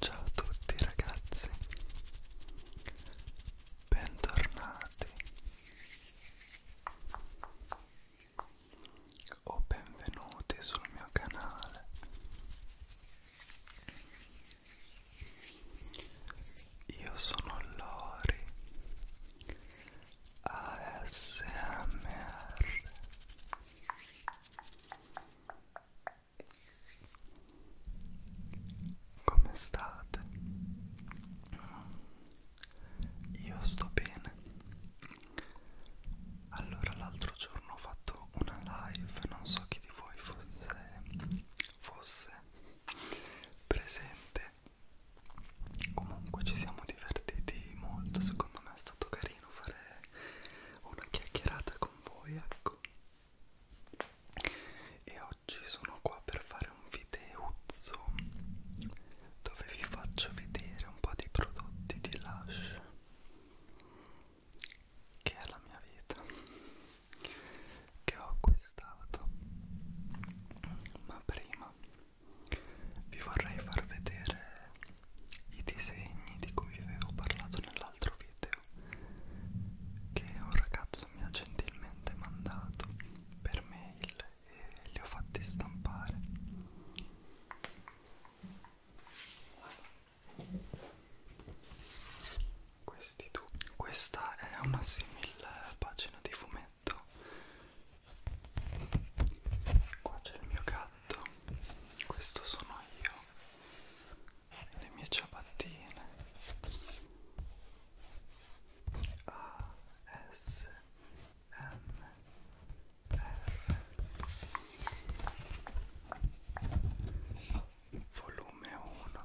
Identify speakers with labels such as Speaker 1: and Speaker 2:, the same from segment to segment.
Speaker 1: Ciao a tutti ragazzi, bentornati o benvenuti sul mio canale. Io sono Lori ASMR Come state? Io sto bene Allora l'altro giorno ho fatto una live Non so chi di voi fosse, fosse presente Comunque ci siamo divertiti molto, secondo me è stato carino fare una chiacchierata con voi, ecco. E oggi sono qua per fare un videuzzo dove vi faccio vedere un po' di prodotti di Lush che è la mia vita che ho acquistato ma prima vi vorrei far vedere i disegni di cui vi avevo parlato nell'altro video che un ragazzo mi ha gentilmente mandato per mail e li ho fatti stampare questi tu questa è una simile pagina di fumetto letto qua c'è il mio gatto questo sono io le mie ciabattine A S M volume 1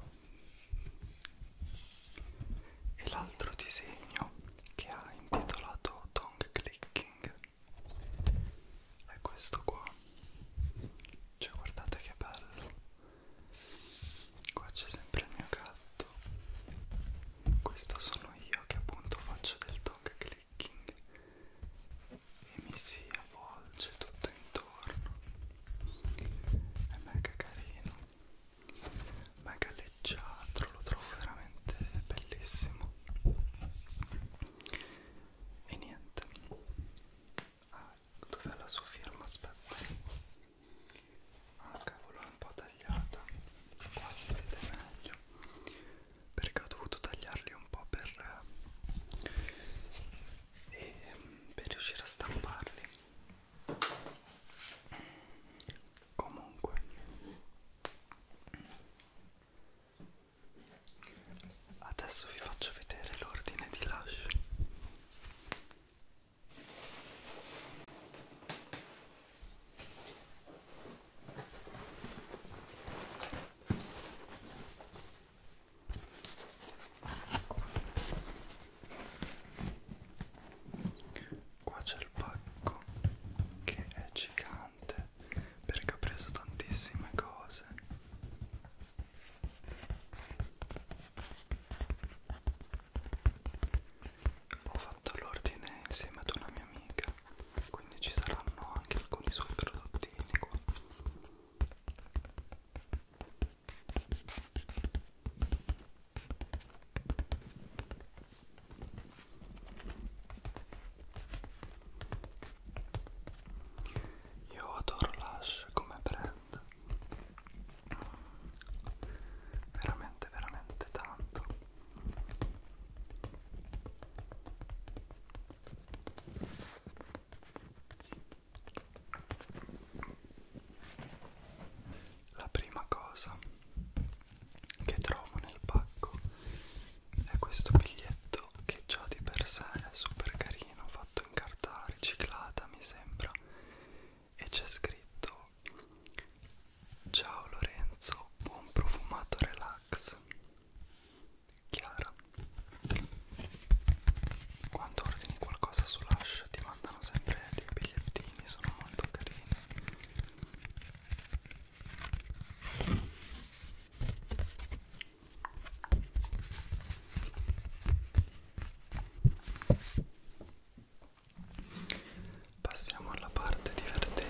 Speaker 1: e l'altro disegno che ha intitolato Tongue Clicking è questo qua cioè guardate che bello qua c'è sempre il mio gatto questo sono io che appunto faccio del tongue clicking e mi si avvolge tutto intorno è mega carino mega leggiadro, lo trovo veramente bellissimo e niente ah, dov'è la sua firma? aspetta ah cavolo è un po' tagliata qua si vede meglio perché ho dovuto tagliarli un po' per, eh, ehm, per riuscire a stamparli comunque Adesso vi faccio vedere l'ordine di lash. Qua c'è il pacco che è gigante interessante perché ho preso tantissime cose ho fatto l'ordine insieme ad una mia amica quindi ci saranno anche alcuni suoi prodottini qua io adoro Lush come brand veramente veramente tanto la prima cosa che trovo nel pacco è questo biglietto che già di per sé è super carino, fatto in carta riciclata mi sembra e c'è scritto Ciao Lorenzo, buon profumato relax Chiara Quando ordini qualcosa su Lush ti mandano sempre dei bigliettini, sono molto carini Passiamo alla parte divertente.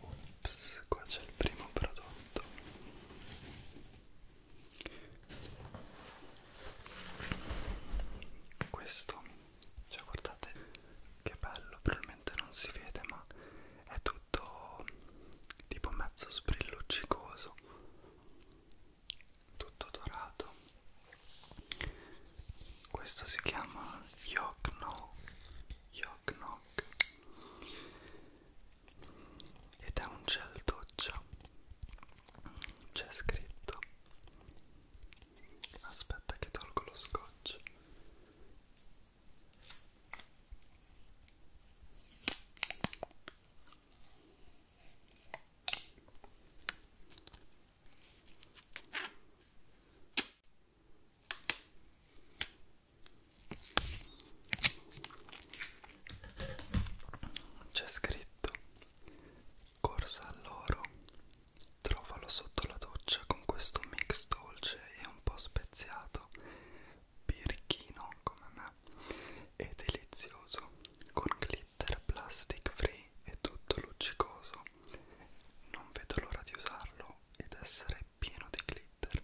Speaker 1: Ops, qua c'è il primo prodotto. Questo, cioè guardate che bello, probabilmente non si vede ma è tutto tipo mezzo sprilluccicoso tutto dorato questo si chiama Yokno Yoknok ed è un gel doccia c'è scritto aspetta che tolgo lo scotch c'è scritto Corsa all'oro Trovalo sotto la doccia con questo mix dolce e un po' speziato Birichino come me e delizioso con glitter plastic free e tutto luccicoso non vedo l'ora di usarlo ed essere pieno di glitter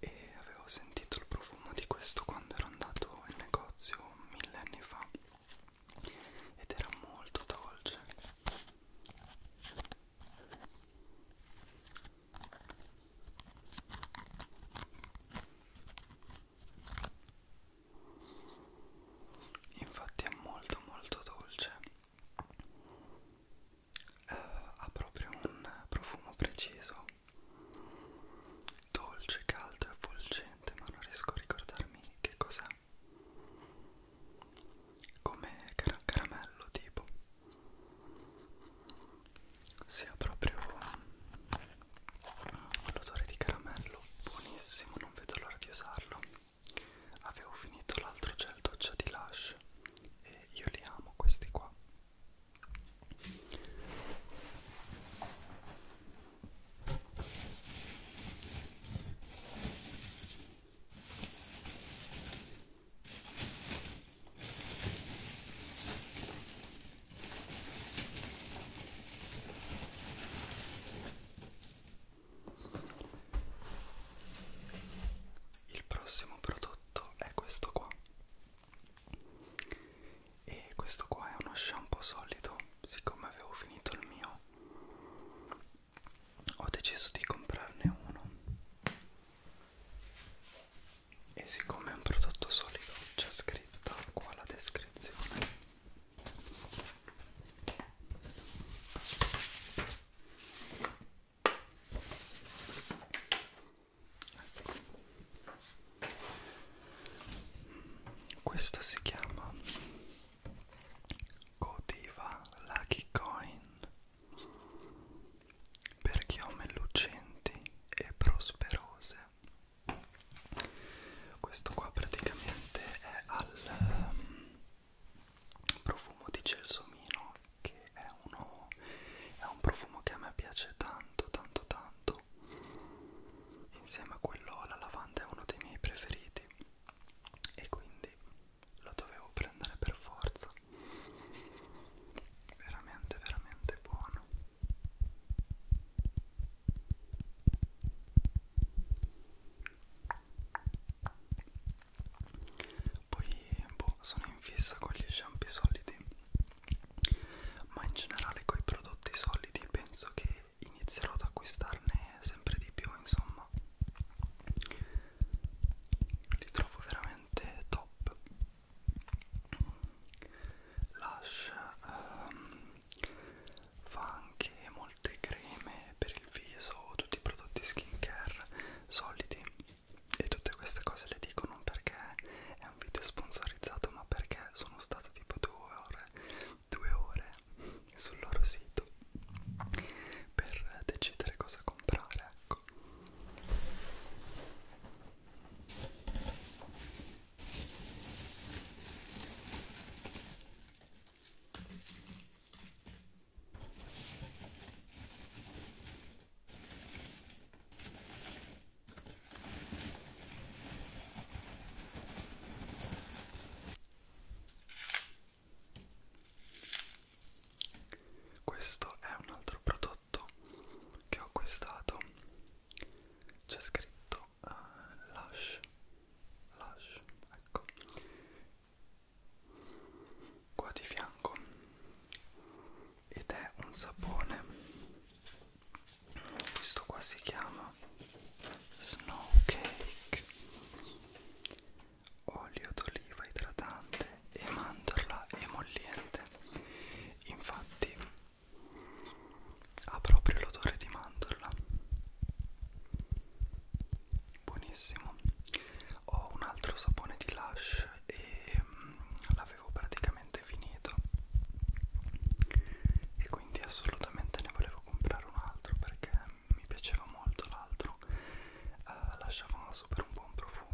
Speaker 1: e avevo sentito il profumo di questo quando ero andato in negozio mille anni fa ed era molto dolce infatti è molto molto dolce eh, ha proprio un profumo preciso dolce, caldo e avvolgente ma non riesco a ricordarmi che cos'è come car caramello tipo sia proprio l'odore di caramello buonissimo non vedo l'ora di usarlo avevo finito l'altro gel doccia di Lush e io li amo questi qua il prossimo prodotto è questo qua. E questo qua è uno shampoo solido, siccome avevo finito il mio ho deciso di comprarne uno e siccome è un prodotto solido c'è scritta qua la descrizione questo si chiama Cotiva Lucky Coin per chiome lucenti e prosperose questo qua praticamente è al um, profumo di gelsomino che è, uno, è un profumo che a me piace tanto tanto tanto insieme a quello alla lavanda è uno dei miei preferiti e quindi lo dovevo prendere per forza veramente veramente buono poi boh, sono in fissa con gli shampoo solidi, ma in generale con i prodotti solidi penso che inizierò ad acquistarne sempre di più, insomma. Li trovo veramente top. Lush ehm, fa anche molto molte creme per il viso, tutti i prodotti skincare solidi e tutte queste cose le dico non perché è un video sponsorizzato ma perché sono stato tipo due ore, due ore sul loro sito per decidere cosa comprare ecco questo è un altro prodotto che ho acquistato. C'è scritto altro uh, Lush Lush, ecco qua di fianco ed è un sapone questo qua si chiama Snow Cake olio d'oliva idratante e mandorla emolliente infatti ha proprio l'odore di mandorla buonissimo ho un altro sapone di Lush e mm, l'avevo praticamente finito e quindi assolutamente ne volevo comprare un altro perché mi piaceva molto l'altro uh, eh, lasciava super un buon profumo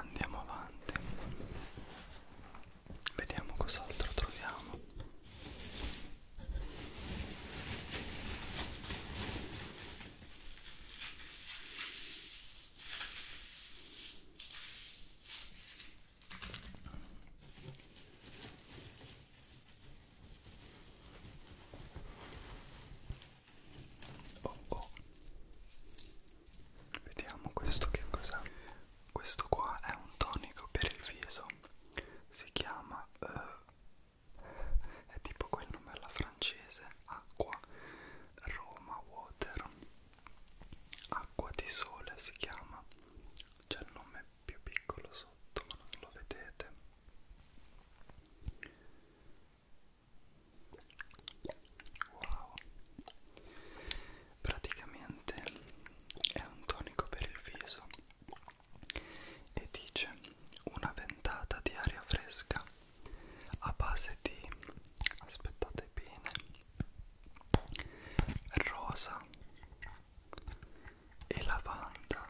Speaker 1: Andiamo avanti. Vediamo cos'altro troviamo. Oh, oh. Vediamo questo che cos'è. Questo qua è un tonico per il viso si chiama uh, è tipo quel nome alla francese acqua Roma Water acqua di sole si chiama c'è il nome più piccolo sotto ma non lo vedete wow praticamente è un tonico per il viso e dice una ventata di aria fresca a base di aspettate bene rosa e lavanda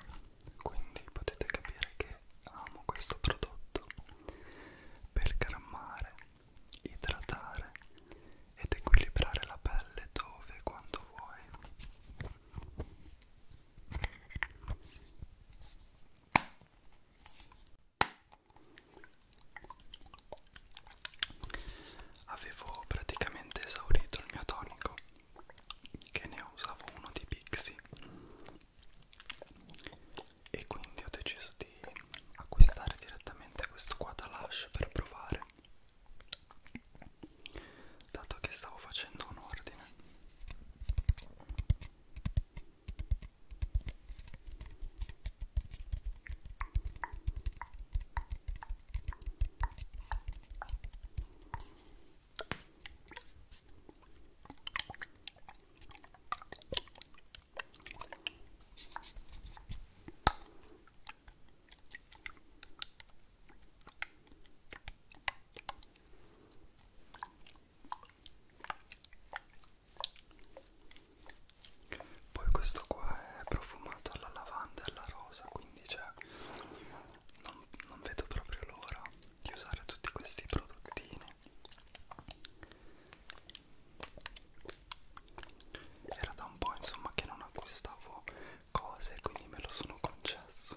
Speaker 1: quindi potete capire che amo questo prodotto per calmare idratare ed equilibrare la pelle dove e quando vuoi Avevo praticamente esaurito il mio tonico, che ne usavo uno di Pixie, e quindi ho deciso di acquistare direttamente questo qua da Lush per provare dato che stavo facendo un ordine poi questo qua è profumato alla lavanda e alla rosa, quindi cioè non, non vedo proprio l'ora di usare tutti questi prodottini. Era da un po' insomma che non acquistavo cose quindi me lo sono concesso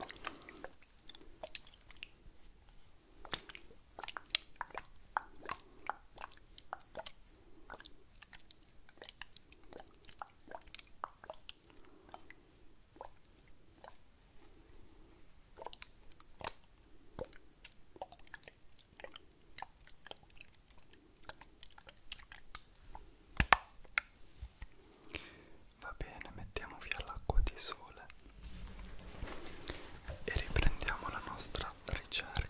Speaker 1: Va bene, mettiamo via l'acqua di sole e riprendiamo la nostra ricerca.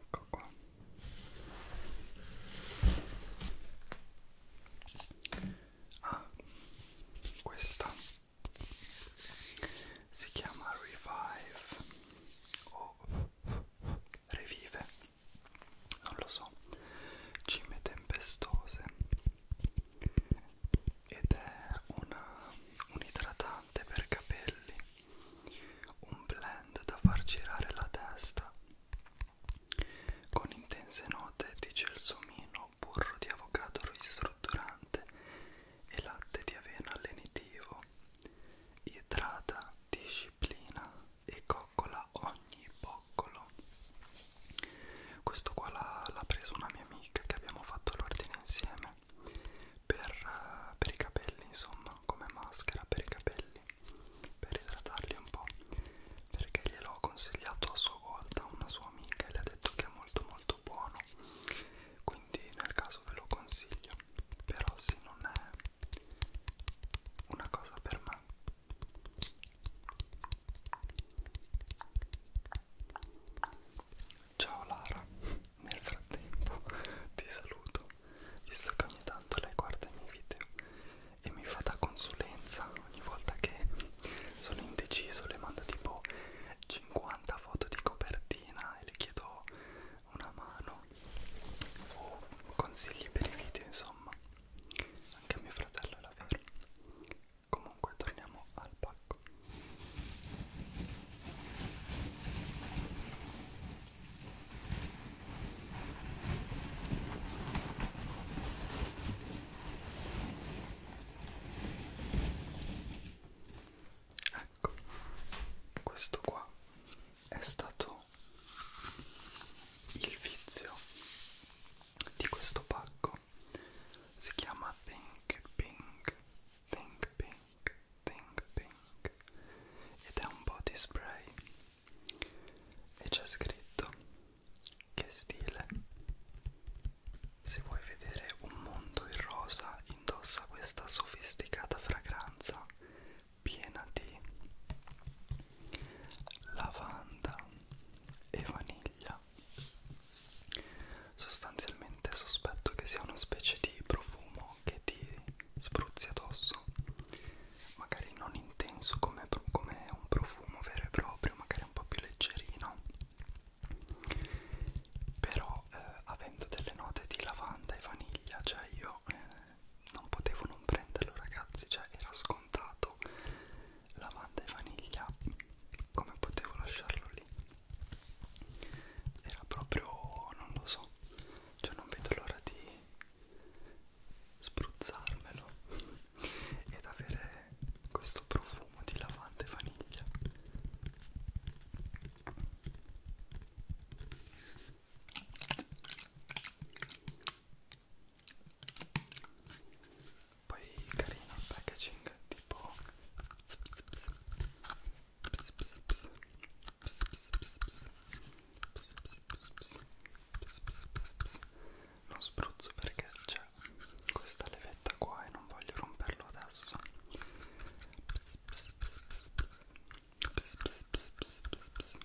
Speaker 1: ecco qua ah questa si chiama Revive o Revive non lo so cime tempestose ed è una, un idratante per capelli un blend da far girare la testa con intense note di gelsomino, burro di avocado ristrutturante e latte di avena allenitivo idrata, disciplina e coccola ogni boccolo questo qua l'ha preso una mia amica che abbiamo fatto l'ordine insieme per, per i capelli insomma come maschera per i capelli per idratarli un po' perché gliel'ho consigliato a sua volta una sua amica e le ha detto che è molto molto buono quindi nel caso ve lo consiglio però se non è una cosa per me ciao Lara nel frattempo ti saluto visto che ogni tanto lei guarda i miei video e mi fa da consulenza ogni volta che sono indeciso, le mando tipo 50 foto di copertina e le chiedo una mano o consigli per i video insomma anche mio fratello è la vera comunque torniamo al pacco Ecco, questo qua è stato il vizio di questo pacco. Si chiama Think Pink, Think Pink, Think Pink ed è un body spray e c'è scritto che stile se vuoi vedere un mondo in rosa indossa questa sofisticata fragranza piena di lavanda e vaniglia sostanzialmente sospetto che sia una specie di profumo che ti spruzzi addosso magari non intenso come, come un profumo vero e proprio, magari un po' più leggerino, però eh, avendo delle note di lavanda e vaniglia, cioè io eh, non potevo non prenderlo ragazzi, cioè era scontato lavanda e vaniglia, come potevo lasciarlo lì? Era proprio, non lo so, cioè non vedo l'ora di spruzzarmelo ed avere questo profumo di lavanda e vaniglia poi carino il packaging tipo ps ps ps ps ps ps ps ps ps ps ps ps, ps, ps, ps, ps, ps. non spruzzo perché c'è questa levetta qua e non voglio romperlo adesso ps, ps, ps, ps, ps, ps, ps, ps, ps, ps, ps, ps, ps, ps.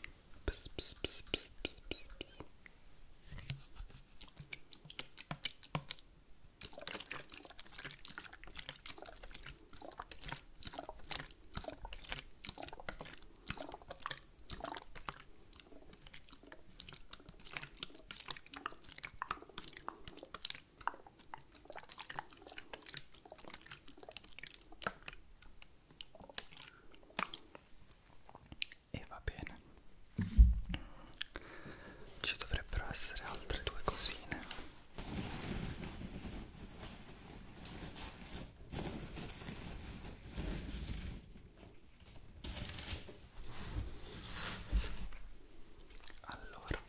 Speaker 1: E va bene. Ci dovrebbero essere altre due cosine. Allora,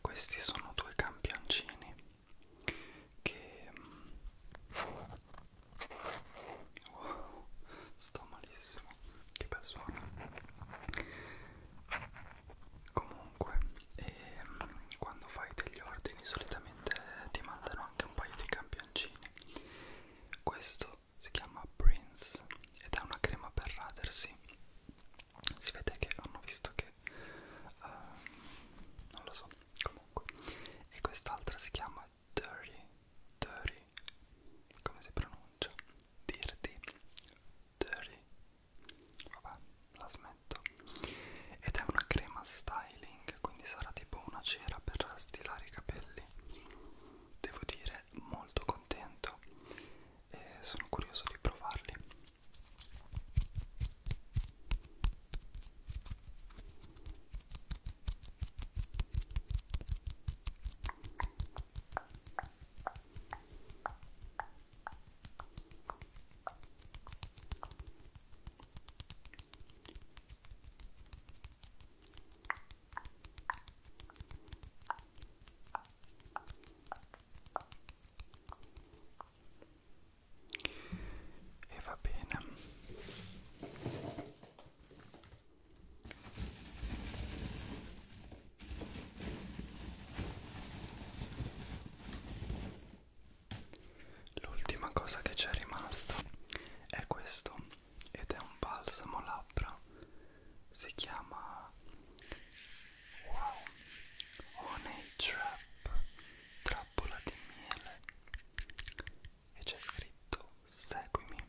Speaker 1: questi sono due campioncini che mm, wow, sto malissimo, che bel suono. Comunque, eh, Ehm, quando fai degli ordini solitamente ti mandano anche un paio di campioncini questo si chiama Prince ed è una crema per radersi si vede che hanno visto che uh, non lo so comunque e quest'altra si chiama Dirty Dirty come si pronuncia? Dirty Dirty vabbè la smetto matto ed è una crema styling quindi sarà tipo una cera per stilare i capelli devo dire molto contento e sono curioso di provarli e va bene L'ultima cosa che c'è rimasta è questo ed è un balsamo labbra. Si chiama Wow Honey Trap Trappola di miele e c'è scritto Seguimi.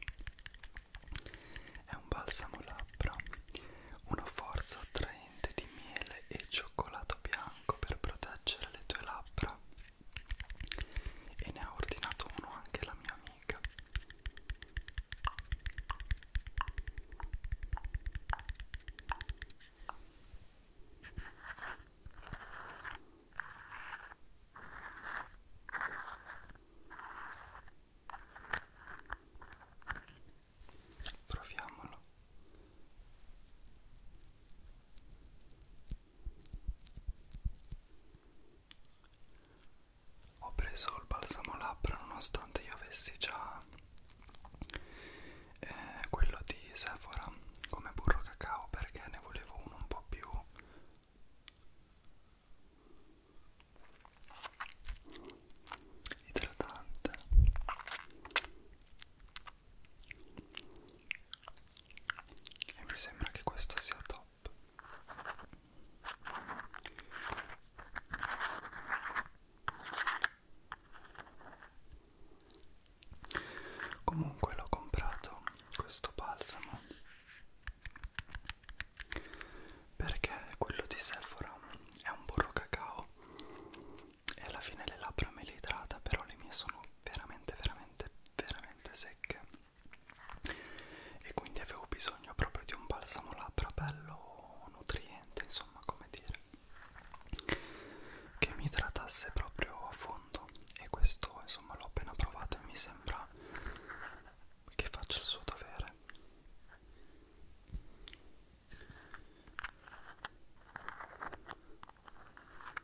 Speaker 1: È un balsamo labbra, una forza attraente di miele e cioccolato bianco per proteggere le tue labbra e ne ha ordinato uno anche la mia amica proviamolo ho preso il balsamo labbra nonostante io avessi già eh, quello di Sephora come burro cacao perché ne volevo uno un po' più idratante e mi sembra che questo sia top Comunque l'ho comprato questo balsamo perché quello di Sephora è un burro cacao e alla fine le labbra me le idrata però le mie sono veramente veramente veramente secche e quindi avevo bisogno proprio di un balsamo labbra bello nutriente insomma come dire che mi idratasse proprio a fondo e questo insomma l'ho appena provato e mi sembra che faccia il suo dovere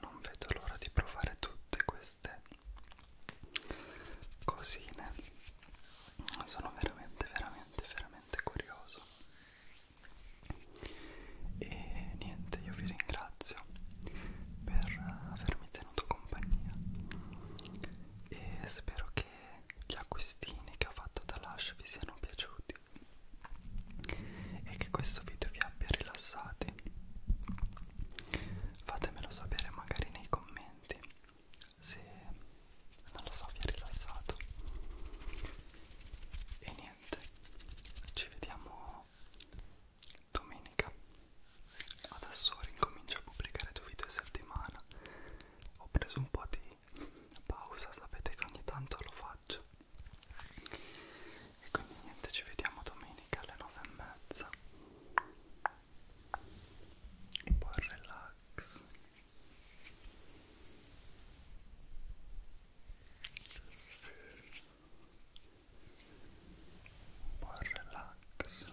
Speaker 1: Non vedo l'ora di provare tutte queste cosine. Sono veramente, veramente, veramente curioso. E niente, io vi ringrazio per avermi tenuto compagnia e spero che gli acquistini che ho fatto da Lush vi siano piaciuti e che questo video vi abbia rilassati fatemelo sapere magari nei commenti se non lo so vi ha rilassato e niente ci vediamo domenica adesso ricomincio a pubblicare due video a settimana ho preso un po' di pausa sapete che ogni tanto lo faccio e quindi niente ci vediamo domenica alle 9 e mezza un po' relax un po' relax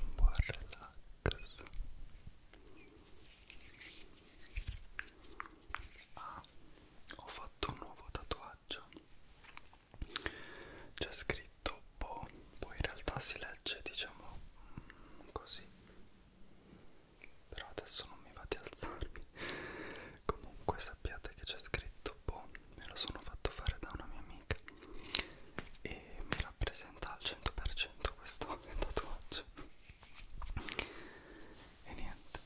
Speaker 1: un buon relax ah, ho fatto un nuovo tatuaggio c'è scritto po poi in realtà si legge diciamo mm, così però adesso non mi va di alzarmi comunque sappiate che c'è scritto boh, me lo sono fatto fare da una mia amica e mi rappresenta al 100% questo tatuaggio e niente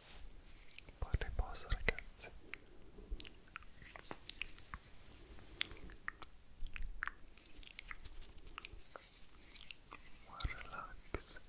Speaker 1: buon riposo ragazzi buon relax